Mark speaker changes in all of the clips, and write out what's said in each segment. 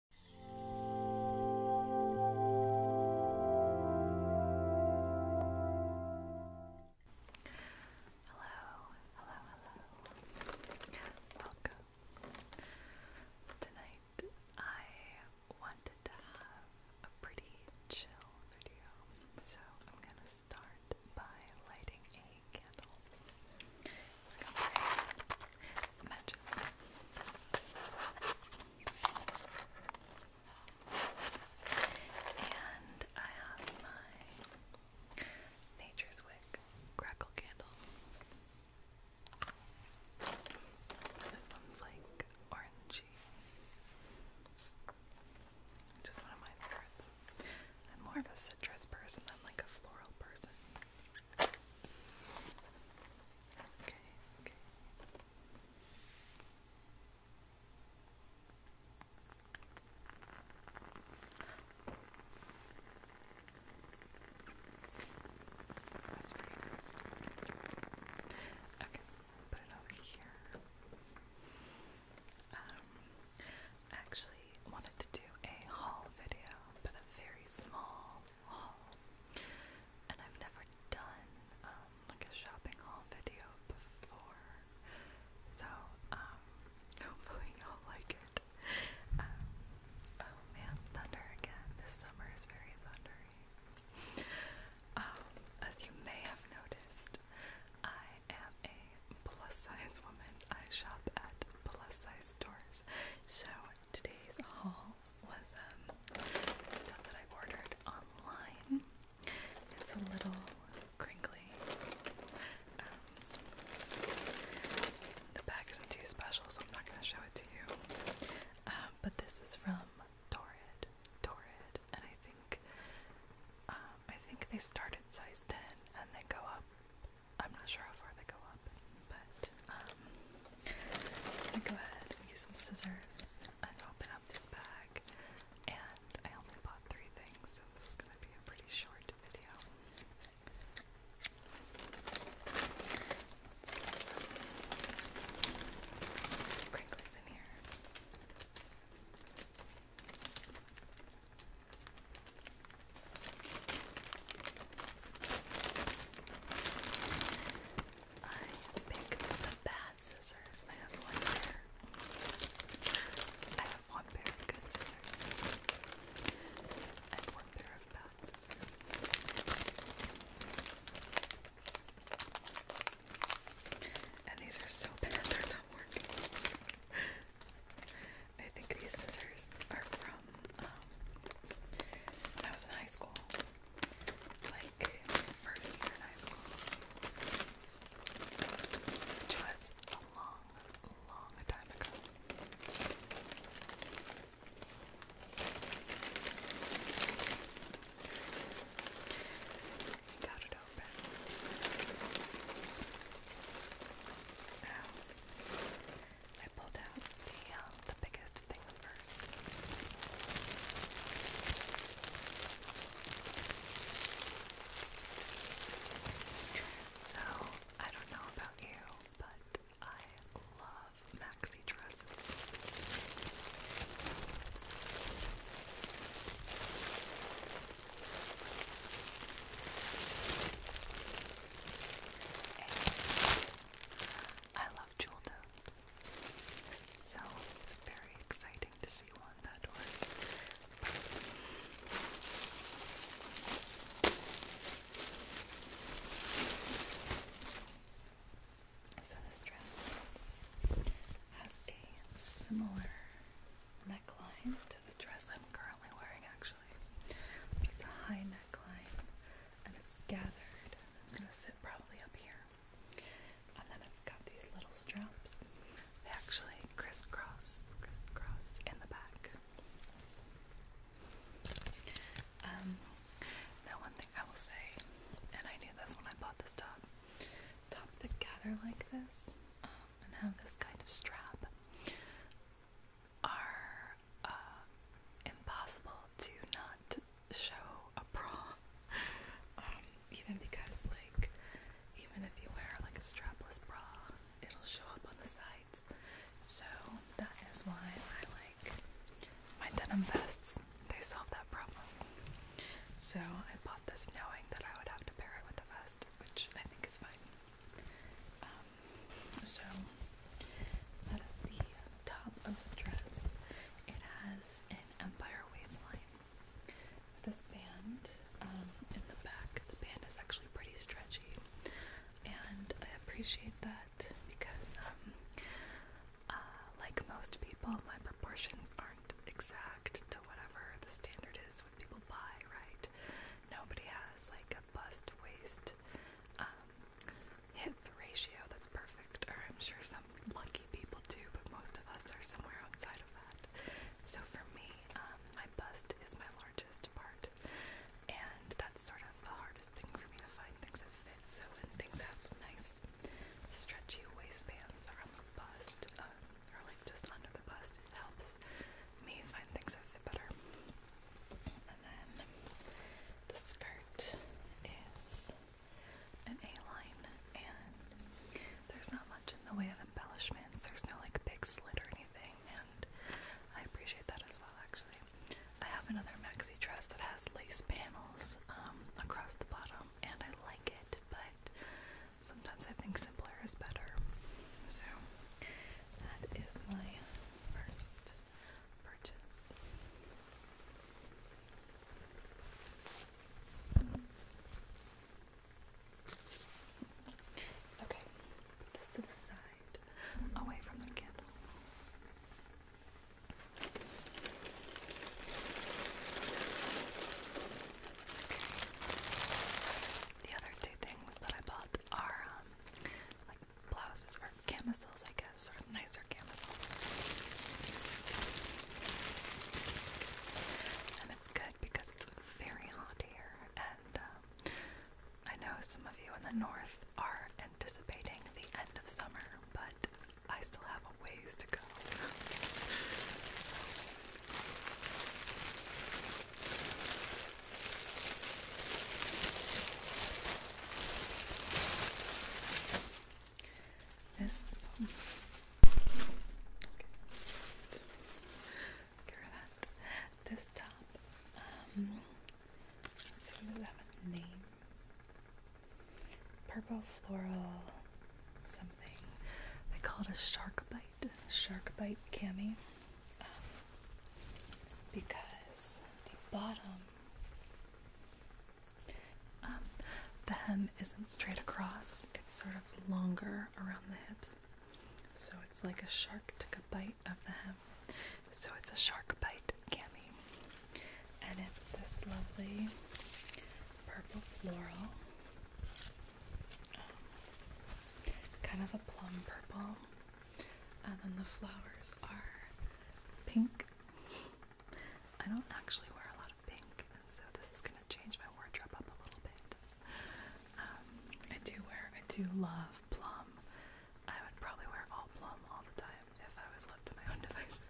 Speaker 1: Hello, hello, hello. Welcome. Tonight I wanted to have a pretty chill video, so I'm gonna start by lighting a candle matches. And I have my Nature's Wick crackle candle. This one's like orangey. Just one of my favorites. I'm more of a citrus person than like a floral person. Okay, okay. That's pretty good. Okay, put it over here. Um, actually, wanted to do a haul video, but a very small haul. And I've never done um, like a shopping haul video before, so um, hopefully you'll like it. Um, oh man, thunder again. This summer is very thundery. as you may have noticed, I am a plus size woman. I shop at plus size stores. So today's haul was um, stuff that I ordered online. It's a little crinkly. Um, the bag isn't too special, so I'm not going to show it to you. Um, but this is from Torrid. Torrid, and I think um, I think they start at size ten and they go up I'm not sure how far they go up, but um, I'm gonna go ahead and use some scissors and open up this bag. And I only bought three things, so this is gonna be a pretty short video. let in here. I picked up the bad scissors. I have one pair. I have one pair of good scissors. I have one pair of bad scissors. And these are so bad, they're not working. I think these scissors are from um, when I was in high school, like first year in high school, which was a long, long time ago. Got it open. Now, I pulled out the um, the biggest thing first. So I don't know about you, but I love maxi dresses. And I love Jolda. So it's very exciting to see one that was. So this dress has a similar neckline to dress I'm currently wearing actually. It's a high neckline and it's gathered. It's gonna sit probably up here. And then it's got these little straps. They actually crisscross, crisscross in the back. Um, now one thing I will say, and I knew this when I bought this top, tops that gather like this, um, and have this kind of strap are uh, impossible to not show a bra. Um, even because, like, even if you wear like a strapless bra, it'll show up on the sides. So that is why I like my denim vests. They solve that problem. So I bought this knowing that I would have to pair it with a vest which I think is fine. Um, so that is the top of the dress. It has an empire waistline. This band um, in the back, the band is actually pretty stretchy, and I appreciate that because, um, uh, like most people, my proportions aren't exact to whatever the standard is people buy, right? Nobody has like a bust waist um, hip ratio that's perfect, I'm sure some lucky people do, but most of us are somewhere outside of that. So for me, um, my bust is my largest part, and that's sort of the hardest thing for me to find things that fit. So when things have nice, stretchy waistbands around the bust, um, or like just under the bus. It helps me find things that fit better. And then the skirt is an A-line, and there's not much in the way of embellishments. There's no like big slit or anything, and I appreciate that as well. Actually, I have another maxi dress that has lace panels um, across the bottom, and I like it, but sometimes I think simpler is better. So that is my first purchase. Okay, put this to the side, away from the candle. The other two things that I bought are um, like blouses or camisoles, I guess, or nicer camisoles. And it's good because it's very hot here, and um, I know some of you in the north are anticipating the end of summer, but I still have ways to go. This oh. okay, that. This top, um, let's have a name? Purple floral, they call it a shark bite, shark bite cami, um, because the bottom, um, the hem isn't straight across, it's sort of longer around the hips. So it's like a shark took a bite of the hem. So it's a shark bite cami. And it's this lovely purple floral kind of a plum purple, and then the flowers are pink. I don't actually wear a lot of pink, so this is gonna change my wardrobe up a little bit. Um, I do wear, I do love plum. I would probably wear all plum all the time if I was left to my own devices.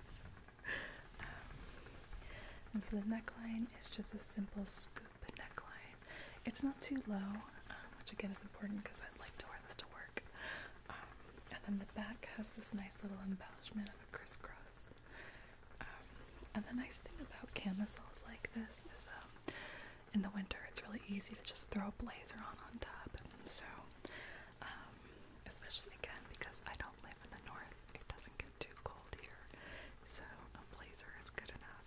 Speaker 1: Um, and so the neckline is just a simple scoop neckline. It's not too low, um, which again is important because I'd like to wear this to work. Um, and then the back has this nice little embellishment of a crisscross. and the nice thing about camisoles like this is in the winter it's really easy to just throw a blazer on on top. So especially again because I don't live in the north, it doesn't get too cold here, so a blazer is good enough.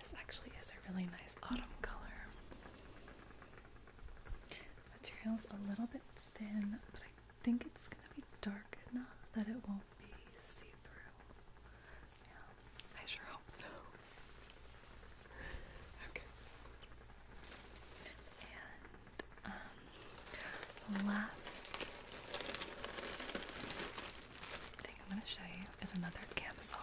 Speaker 1: this actually is a really nice autumn color. is a little bit thin, but I think it's gonna be dark enough that it won't be see-through. I sure hope so. Okay. Um, last thing I'm going to show you is another camisole.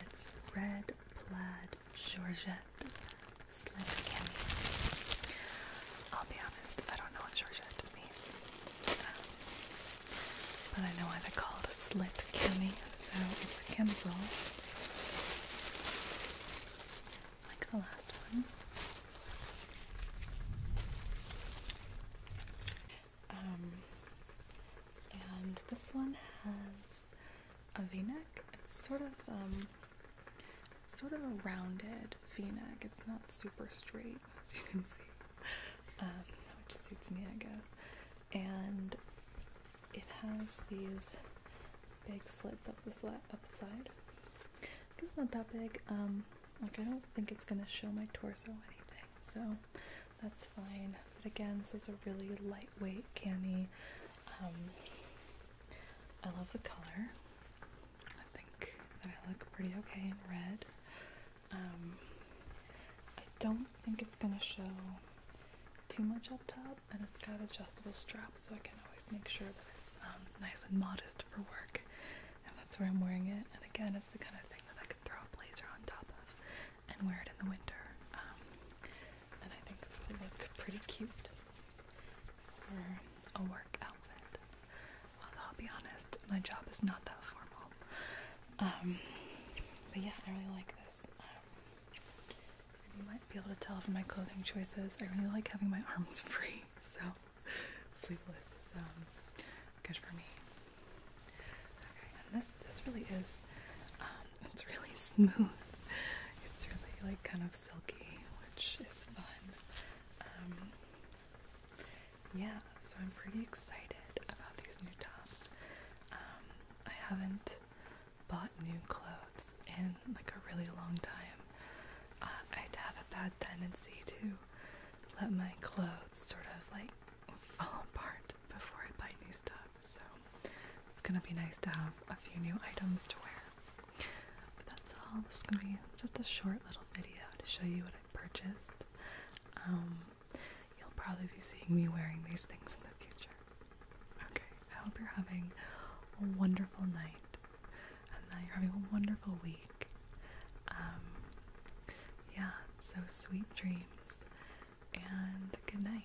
Speaker 1: It's red plaid georgette Slit candy. I'll be honest, I don't know what shortcrust means. but I know why they call it a slit cami, so it's a camisole. Like the last one. Um, and this one has a v-neck. It's sort of, um, it's sort of a rounded v-neck. It's not super straight, as you can see, um, which suits me, I guess. And it has these big slits up the, sli up the side. It's not that big. Um, like I don't think it's gonna show my torso anything, so that's fine. But again, this is a really lightweight cami. Um, I love the color. I think that I look pretty okay in red. Um, I don't think it's gonna show too much up top, and it's got adjustable straps, so I can always make sure that it's um, nice and modest for work. And that's where I'm wearing it. And again, it's the kind of thing that I could throw a blazer on top of and wear it in the winter. Um, and I think it would look pretty cute a work outfit. I'll be honest, my job is not that formal. Um, but yeah, I really like this. Um, you might be able to tell from my clothing choices, I really like having my arms free, so sleepless is um, good for me. Okay, and this this really is it's really smooth. It's really like kind of silky, which is fun. Um, yeah, so I'm pretty excited about these new tops. Um, I haven't bought new clothes in like a really long time. Uh, I have a bad tendency to let my clothes sort of like fall apart before I buy new stuff, so it's gonna be nice to have a few new items to wear. But that's all. This gonna be just a short little video to show you what I purchased. Um, you'll probably be seeing me wearing these things in the future. Okay, I hope you're having a wonderful night and that you're having a wonderful week. Um, yeah, so sweet dreams and good night.